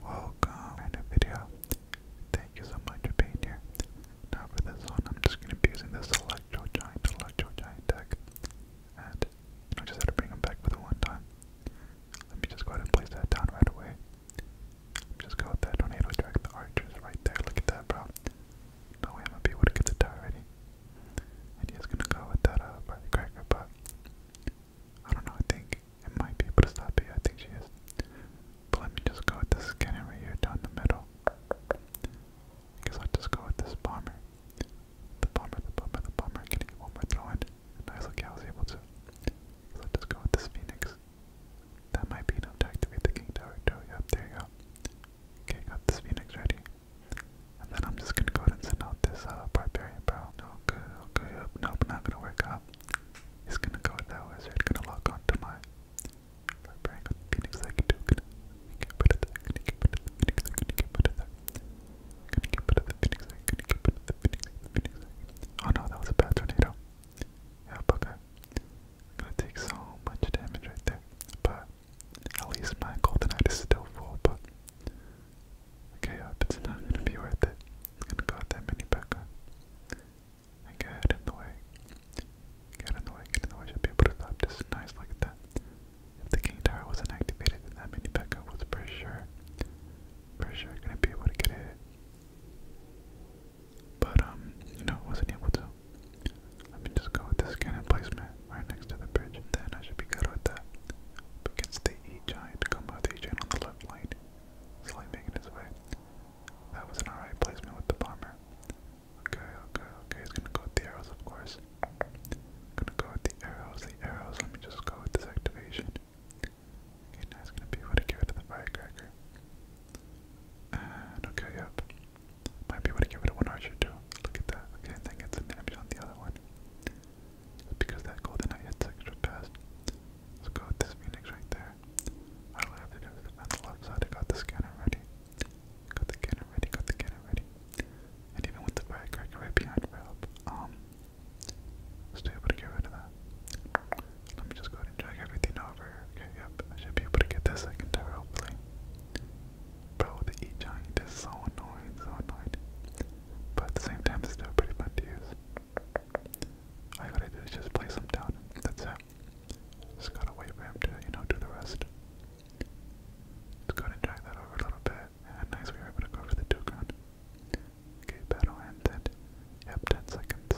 Welcome to a video. Thank you so much for being here. Now for this one, I'm just going to be using this Electro Giant, Electro Giant deck. And I just had to bring him back for the one time. Let me just go ahead and place that down right away. Just go with that tornado track. The archers right there. Look at that, bro. No way I'm going be able to get the die ready. And he's gonna go with that uh, firecracker, but I don't know, I think it might be Pristapi, I think she is. But let me just go with this cannon right here down the middle. I guess I'll just go with this bomber. The bomber, the bomber, the bomber. Can I get one more throw in? Nice, okay, I was able to. So I'll just go with this phoenix. That might be enough to activate the king tower too. Yep, there you go. Okay, got this phoenix ready. And then I'm just gonna go ahead and send out this uh, barbarian barrel. No good, okay, yep, nope, not gonna work out. It's gonna go with that It's gonna lock onto my on Gonna get Oh no, that was a bad tornado. Yeah, okay. Gonna take so much damage right there. But at least my golden eye is still full, but Okay, up, it's not gonna be worth it. It's gonna go at that mini Becca. Okay, get in the way. Get in the way, get in the way. Should be able to stop just nice like that. If the King Tower wasn't activated, then that mini Becca was for sure, for sure gonna be able to get it. But, um, you know, wasn't able to. Let me just go with this cannon placement right next to the bridge, and then I should be good with that. Against the E giant, come out the E giant on the left lane slowly making his way. That was an alright placement with the bomber. Okay, okay, okay, he's gonna go with the arrows, of course. Gonna go with the arrows, the arrows. Let me just go with this activation. Okay, now he's gonna be able to get rid of the firecracker. And okay, yep. Might be able to give it a one archer too. Look at that. Okay, and then gets a damage on the other one because that golden knight hits extra fast. Let's go with this phoenix right there. All I have to do is on the I got the scanner ready. Got the cannon ready, got the cannon ready. And even with the firecracker right behind for help, um, still able to get rid of that. Let me just go ahead and drag everything over. Okay, yep, I should be able to get that second tower, hopefully. Bro, the E-Giant is so annoying, so annoying. But at the same time, it's still pretty fun to use. All I gotta do is just place them down. That's it. Just gotta wait for him to, you know, do the rest. Let's go and drag that over a little bit. nice, we were able to go for the two gun. Okay, battle ended. Yep, 10 seconds.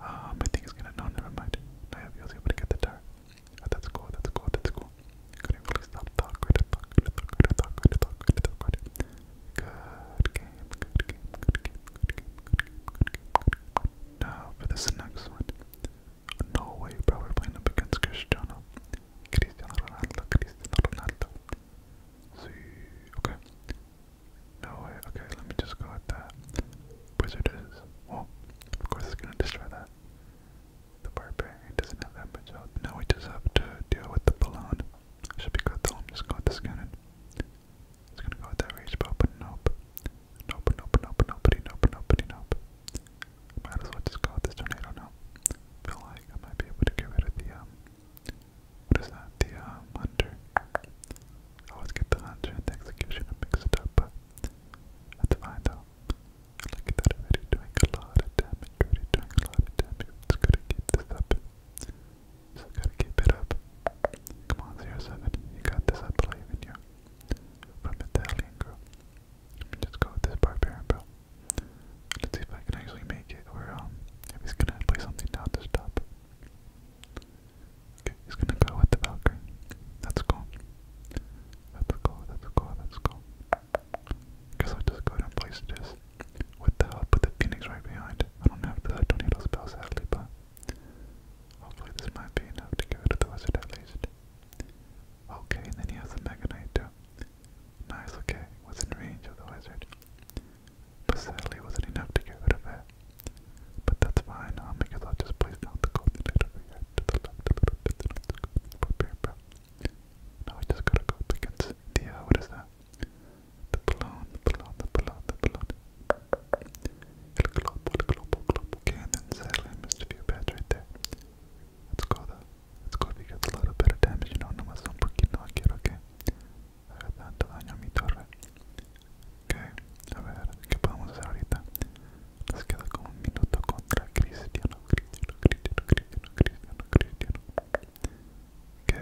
Um, I think he's gonna. No, never mind. No, yep, he was get the turret. Oh, that's cool, that's cool, that's cool. Couldn't really stop. Thought, credit, thought, credit, thought, credit, thought, credit, thought, credit, thought, credit, thought, credit. Good game, good game, good game, good game, good game, Now for this next one. Norway probably playing up against Cristiano. Cristiano Ronaldo, Cristiano Ronaldo. See, okay. Norway, okay, let me just go with that. Wizard is, well, of course it's gonna destroy that. The barbarian doesn't have that much health. we just have to deal with the balloon. Should be good though. I'm just going to scan it. It's gonna go with that rage bow, but nope. Nope, nope, nope, nobody, nope, nobody, nope. Might as well just go with this tornado now. Feel like I might be able to get rid of the um what is that? The um hunter. I always get the hunter and the executioner mixed up, but that's fine though. Look at that already doing a lot of damage, already doing a lot of damage. It's good to keep this up. So gotta keep it up. Come on, zero seven. You got this, I believe in you. From Italian girl. Let me just go with this barbarian bro. Let's see if I can actually make it or um if he's gonna play something down to stop. Okay, he's gonna go with the Valkyrie. That's cool. That's cool, that's cool, that's cool. Guess I'll just go ahead and place this. What the hell? Put the phoenix right behind. I don't have the I don't need those spells sadly, but hopefully this might be enough to get rid of the wizard at least. Okay, then he has the Mega Knight too. Nice, okay. Was range of the wizard. But sadly wasn't enough to get rid of it. But that's fine, um, because I'll just place down the golden to the left a here, Now I just gotta go against the, what is that? The balloon, the balloon, the balloon, the balloon. El globo, el globo, globo cannon. Sadly, I missed a few right there. Let's go though. Let's go if a little bit of damage. You know, nomás un poquito aquí, okay? Tanto daño a mi torre. Okay, a ver, ¿qué podemos hacer ahorita? Nos queda como un minuto contra Cristiano, Cristiano, Cristiano, Cristiano, Cristiano, Cristiano. Ok,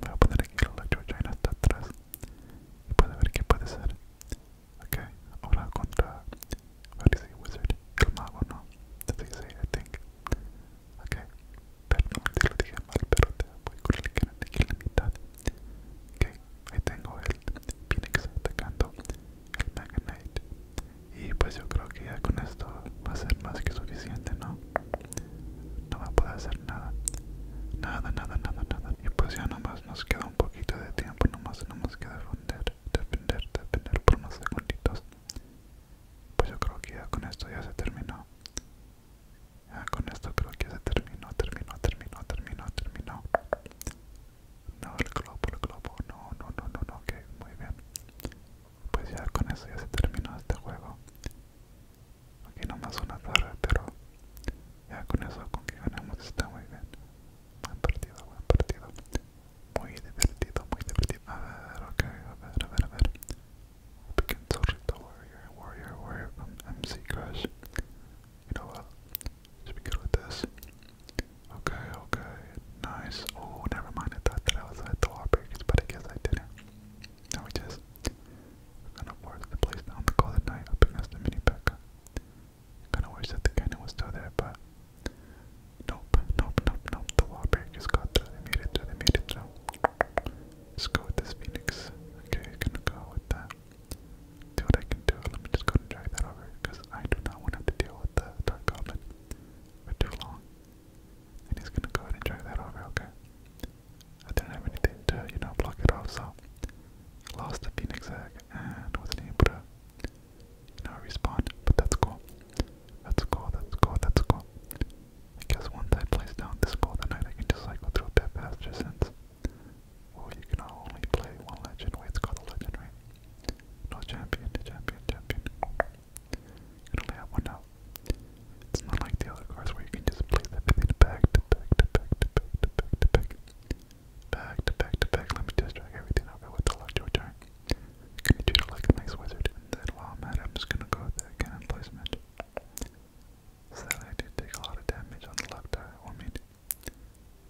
voy a poner aquí la electrochain hasta atrás y puede ver qué puede ser ok ahora contra what wizard el mago no así se I think ok perdón te lo dije mal pero te voy con el que en la mitad ok ahí tengo el phoenix atacando el magnate y pues yo creo que ya con esto va a ser más que suficiente no no va a poder hacer nada nada nada nada nada y pues ya nomás nos queda un poquito de tiempo nomás tenemos que defender defender defender por unos segunditos pues yo creo que ya con esto ya se terminó ya con esto creo que ya se terminó terminó terminó terminó terminó no el globo el globo no no no no no ok muy bien pues ya con eso ya se terminó este juego aquí más una torre pero ya con eso con que ganamos está muy bien buen partido buen partido muy divertido muy divertido a ver ok a ver a ver a ver big Zorrito Warrior Warrior Warrior MC um, Crash You know what? Should be good with this. Okay, okay, nice. Oh, never mind. I thought that I was at the wallbreakers, but I guess I didn't. Now it is. We're gonna the place down the call night up against the mini Becca. Kinda wish that the cannon was still there, but nope, nope, nope, nope. The wall breakers got through. They made it through. made it through. Let's go with this Phoenix. Okay, gonna go with that. Do what I can do. Let me just go and drag that over because I do not want to deal with the Dark Goblin for too long. And he's gonna go ahead and drive that over, okay? I didn't have anything to, you know, block it off, so lost the Phoenix egg and wasn't able to, you know, respond. But that's cool. That's cool, that's cool, that's cool. I guess once I place down this golden knight, I can just like go through a bit faster since well you can only play one legend. Wait, it's called a legend, right? No champion, champion, champion. It only had one out. It's not like the other cars where you can just play the fifth back to back to back to back to back to back. Back to back to back. Let me just drag everything over with the left your turn. Can you treat it like a wizard? then while I'm at it, I'm just gonna go with that cannon placement. Sadly, I did take a lot of damage on the luck eye. I mean,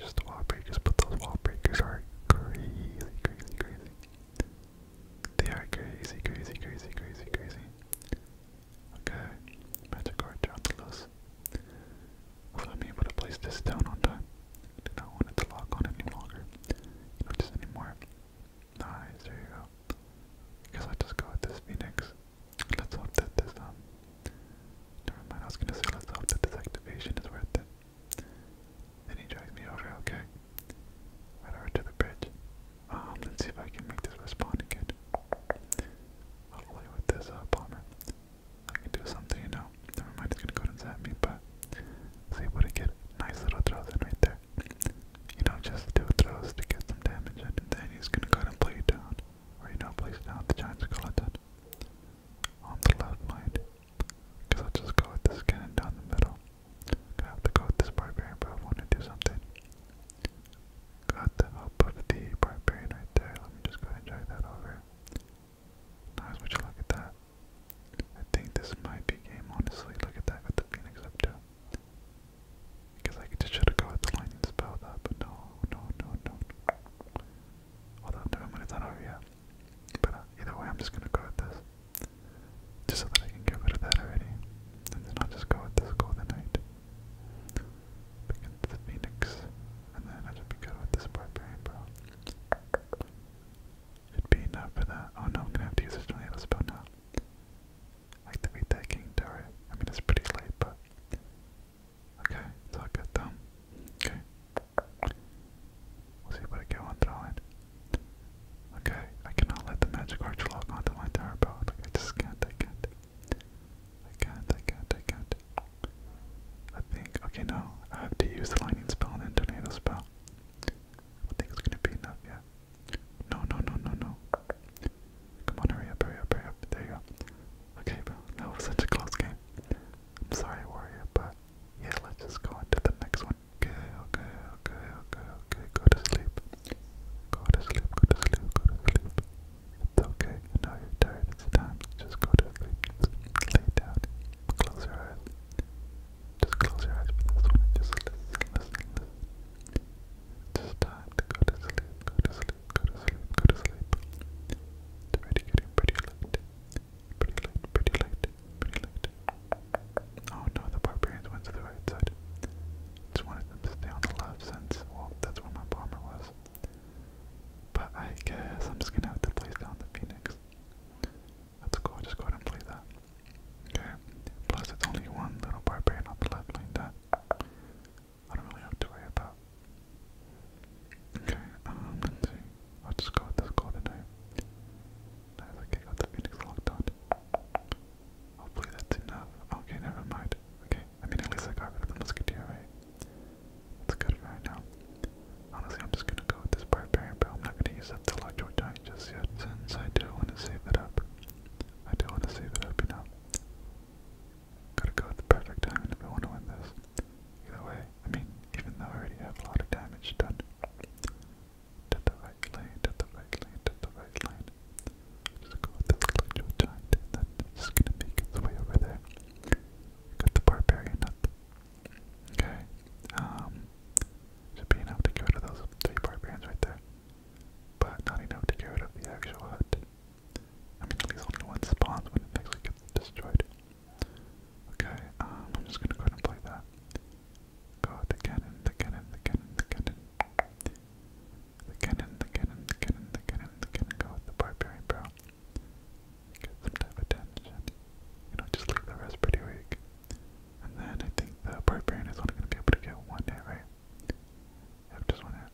just wall breakers, but those wall breakers are crazy, crazy, crazy. They are crazy, crazy, crazy, crazy, crazy. Okay, Magikarp Jauntalus. Will I able to place this down on time? I not want it to lock on any longer. Not just anymore. Nice, there you go. guess I just go with this Phoenix. Let's hope that this, um... Never mind, I was gonna say let's hope that this activation is worth it. Then he drives me over, okay? Right over to the bridge. Um, let's see if I can make this respond again. Hopefully with this uh, bomber. I can do something, you know. Never mind, it's gonna go and me, but I was able to nice little throws in right there. You know, just two throws to get some damage in, then he's gonna go and play you down. Or, you know, place down the giant skeleton on the left line. Because I'll just go with this cannon down the middle. Gonna have to go with this barbarian, but I want to do something. Got the help of the barbarian right there. Let me just go and drag that over. Nice, look at that? I think this might be game, honestly. Look at that, got the phoenix up too. Because I could just try to go with the lightning spell that, but no, no, no, no. Hold on, never mind, it's not over yet. But uh, either way, I'm just gonna go with this. Just so that I can get rid of that already. And then I'll just go with this golden knight. Pick into the phoenix. And then I'll just be good with this barbarian bro. Should be enough for that. Oh no, I'm gonna have to use a tornado spell now. Activate that king tower. I mean it's pretty late, but Okay, it's all good though. Okay. We'll see what I get on throwing. Okay, I cannot let the magic arch lock onto my tower belt. I just can't, I can't. I can't, I can't, I think, okay, now I have to use the lightning spell and then tornado spell. I think it's gonna be enough, yeah. No, no, no, no, no. Come on, hurry up, hurry up, hurry up. There you go. Okay, bro, that was such a close game. I'm sorry, Warrior, but yeah, let's just go into the next one. Okay, okay, okay, okay, okay. Go to sleep. Go to sleep, go to sleep, go to sleep. It's okay. You know you're tired. It's time. Just go to sleep. Just lay down. Close your eyes. Just close your eyes for this one. Just listen, listen, listen. It's time to go to sleep, go to sleep, go to sleep, go to sleep. It's already getting pretty late. Pretty late, pretty late it, reload Oh no, the barbarians went to the right side. Just wanted them to stay on the left since, well, that's where my bomber was. But I guess I'm just gonna have to place down the phoenix. Let's go, just go ahead and play that. Okay, plus it's only one little barbarian on the left lane that I don't really have to worry about. Okay, um, let's see. I'll just go with this golden knight okay, got the Phoenix locked on. Hopefully that's enough. Okay, never mind. Okay, I mean at least I got rid of the musketeer, right? That's good right now. Honestly, I'm just gonna go with this barbarian, but I'm not gonna use up the large giant just yet, since I do want to save it up. I do want to save it up, you know. Gotta go at the perfect time if I want to win this. Either way, I mean, even though I already have a lot of damage done, to the right lane, to the right lane, to the right lane. Just go with this collegial giant, and then it's just gonna make its way over there. Got the barbarian up. Okay. Um should be enough to get rid of those three barbarians right there. But not enough to get rid of the actual hut. I mean at least only one spawns when it actually gets destroyed. Okay, um I'm just gonna go ahead and play that. Go the cannon, the cannon, the cannon, the cannon. The cannon, the cannon, the cannon, the cannon, the cannon. Go with the barbarian, bro. Get attention. You know, just leave the rest pretty weak. And then I think the barbarian is only going to be able to get one hit, right? just one hit.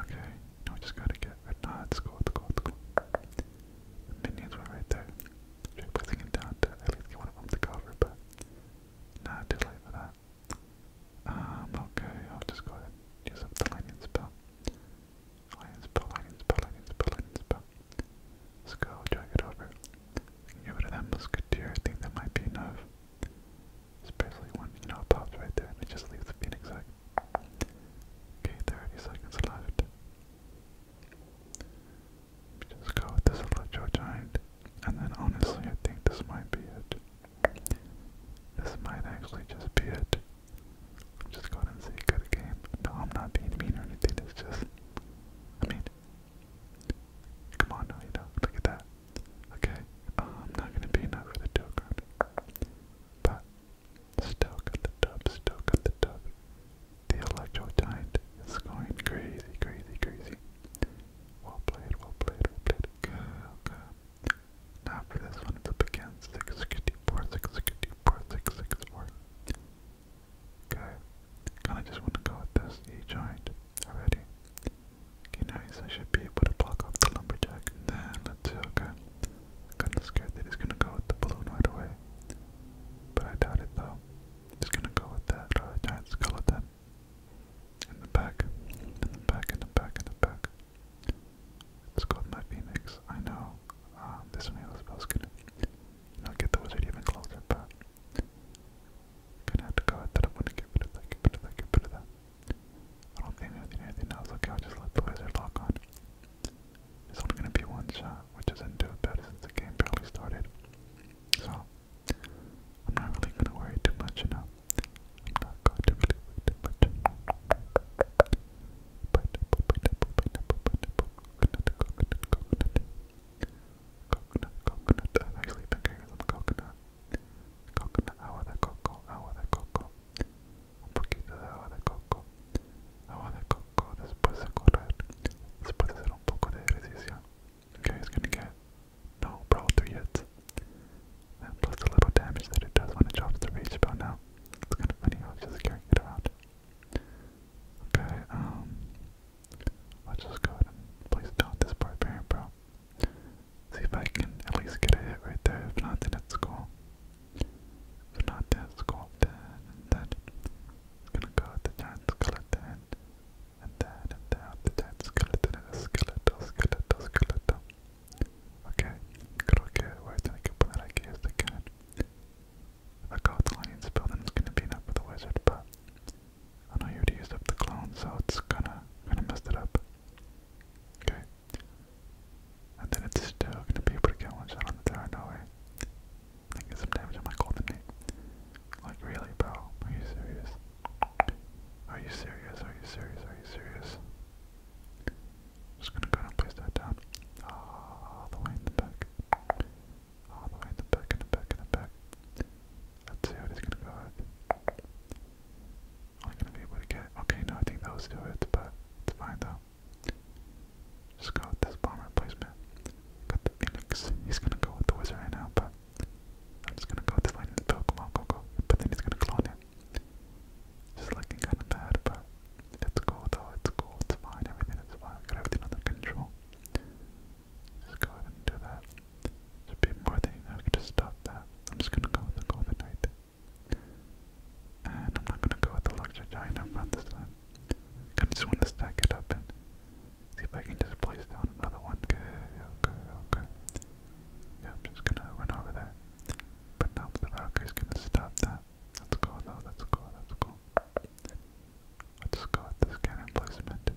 Okay, we just gotta get. Nah, it's cool, it's cool, it's cool. The minions were right there. Straight pressing it down at least get one of them to cover, but not too late for that. Um, okay, I'll just go ahead use up the lightning spell. Lightning spell, lightning spell, lightning Let's go, drag it over. I can get rid of that I think that might be enough. Especially when, you know, pops right there and it just leaves the phoenix Okay, 30 seconds left. Just go with this Electro Giant. And then honestly, I think this might be it. This might actually just be it. Just go and say good game. No, I'm not being mean or anything. It's just, I mean, come on, no, you look at that. Okay, uh, I'm not gonna be enough for the token, but still got the dub, still got the dub. The Electro Giant is going crazy, crazy, crazy. Well played, well played, well played. Good, Now for this one, it's up against 664, 664, 664. Okay, kinda just wanna go with this giant already. Okay, nice, I should be able to block off the lumberjack. then, okay. Kinda scared that he's gonna go with the balloon right away. But I doubt it though. Just gonna go with that, uh, giant skeleton. In the back, in the back, in the back, in the back. It's called my phoenix. I know. Um, this one was supposed to not get the wizard even closer, but gonna have to go with that. I'm gonna get rid of that, get rid of that, get rid of that. I don't think anything, anything else. Okay, I'll just let the wizard lock on. This one's gonna be one shot, which isn't too bad since the game barely started. So I'm not really gonna worry too much, you know. I'm not going to worry too much. Coconut, coconut, I've actually been getting some coconut. Coconut, agua de coco, agua de coco. Un poquito de agua de coco. Agua de coco it's gonna get no brawl 3 hits. plus the little damage that it does when it drops the reach about now. It's kind of funny how it's just carrying it around. Okay, um, let's just go ahead and this barbarian bro. See if I can at least get a hit right there. If not, then it's cool. If not, then it's cool. Then, and gonna go with the giant and then, and then, the giant skeleton and the skeletal, skeletal, skeletal. Okay, creo que voy a tener que poner aquí este can. If I call the lion spell, then it's gonna be enough for the wizard, but I know you already used up the clone, so it's gonna, gonna mess it up. Okay. And then it's still gonna be able to get one shot on the tower, no way. Like sometimes I might call them name. Like really, bro? Are you serious? Are you serious? Are you serious? Are you serious? Just gonna go and place that down. All the way in the back. All the way in the back, in the back, in the back. Let's see gonna go with. Only gonna be able to get. Okay, no, I think those do it, but it's fine though. Just go with this bomber placement. Got the Phoenix. He's gonna go with the wizard right now, but I'm just gonna go with this lightning spell. Come on, go, go. But then he's gonna clone it. Just looking kinda bad, but it's cool though. It's cool. It's fine. Everything is fine. We got everything under control. Just go ahead and do that. There'd be more than enough to stop that. I'm just gonna go with the golden knight. And I'm not gonna go with the luxury giant up front this time. Kind of just want to stack it up and see if I can just place down another one. Good, okay, okay. Yeah, I'm just gonna run over there. But now the Valkyrie's gonna stop that. Let's go though, let's go, let's go. Let's go with this cannon placement.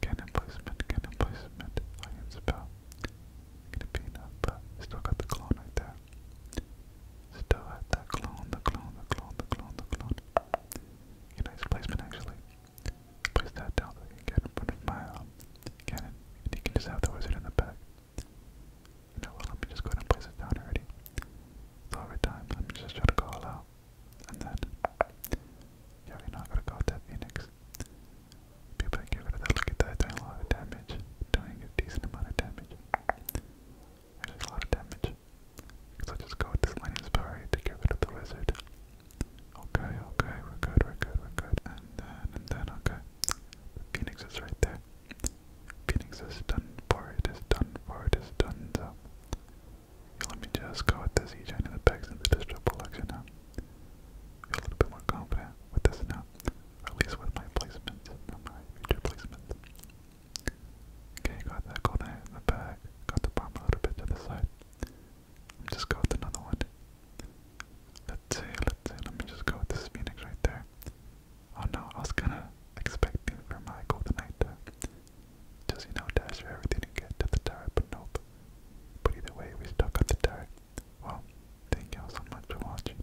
Cannon placement, cannon placement. Lion's about. Gonna be enough, but still got the clone right there. Still have that clone, the clone, the clone, the clone, the clone. A nice placement actually. Place that down you can get in front of my um, you can just have the wizard in the back. You know what, let me just go and place it down already. So every time, let me just try to go all out. And then, yeah, we're not gonna go with that phoenix. People that get rid look at that, doing a lot of damage. Doing a decent amount of damage. There's a lot of damage. So just go with this Lightning Spire to get rid of the Wizard. Okay, okay, we're good, we're good, we're good. And then, and then, okay. Phoenix is right there. Phoenix is done for, it is done for, it is done, so... let me just go with this E-Giant in the back since it is triple action now. a little bit more confident with this now. at least with my placement, my future placement. Okay, got that, got that in the back. Got the bomb a little bit to the side. Just go with another one. Let's see, let's see. Let me just go with this Phoenix right there. Oh no, I was kind of expecting for my Golden Knight to just, you know, dash for everything and get to the turret, but nope. But either way, we stuck at the turret. Well, thank y'all so much for watching.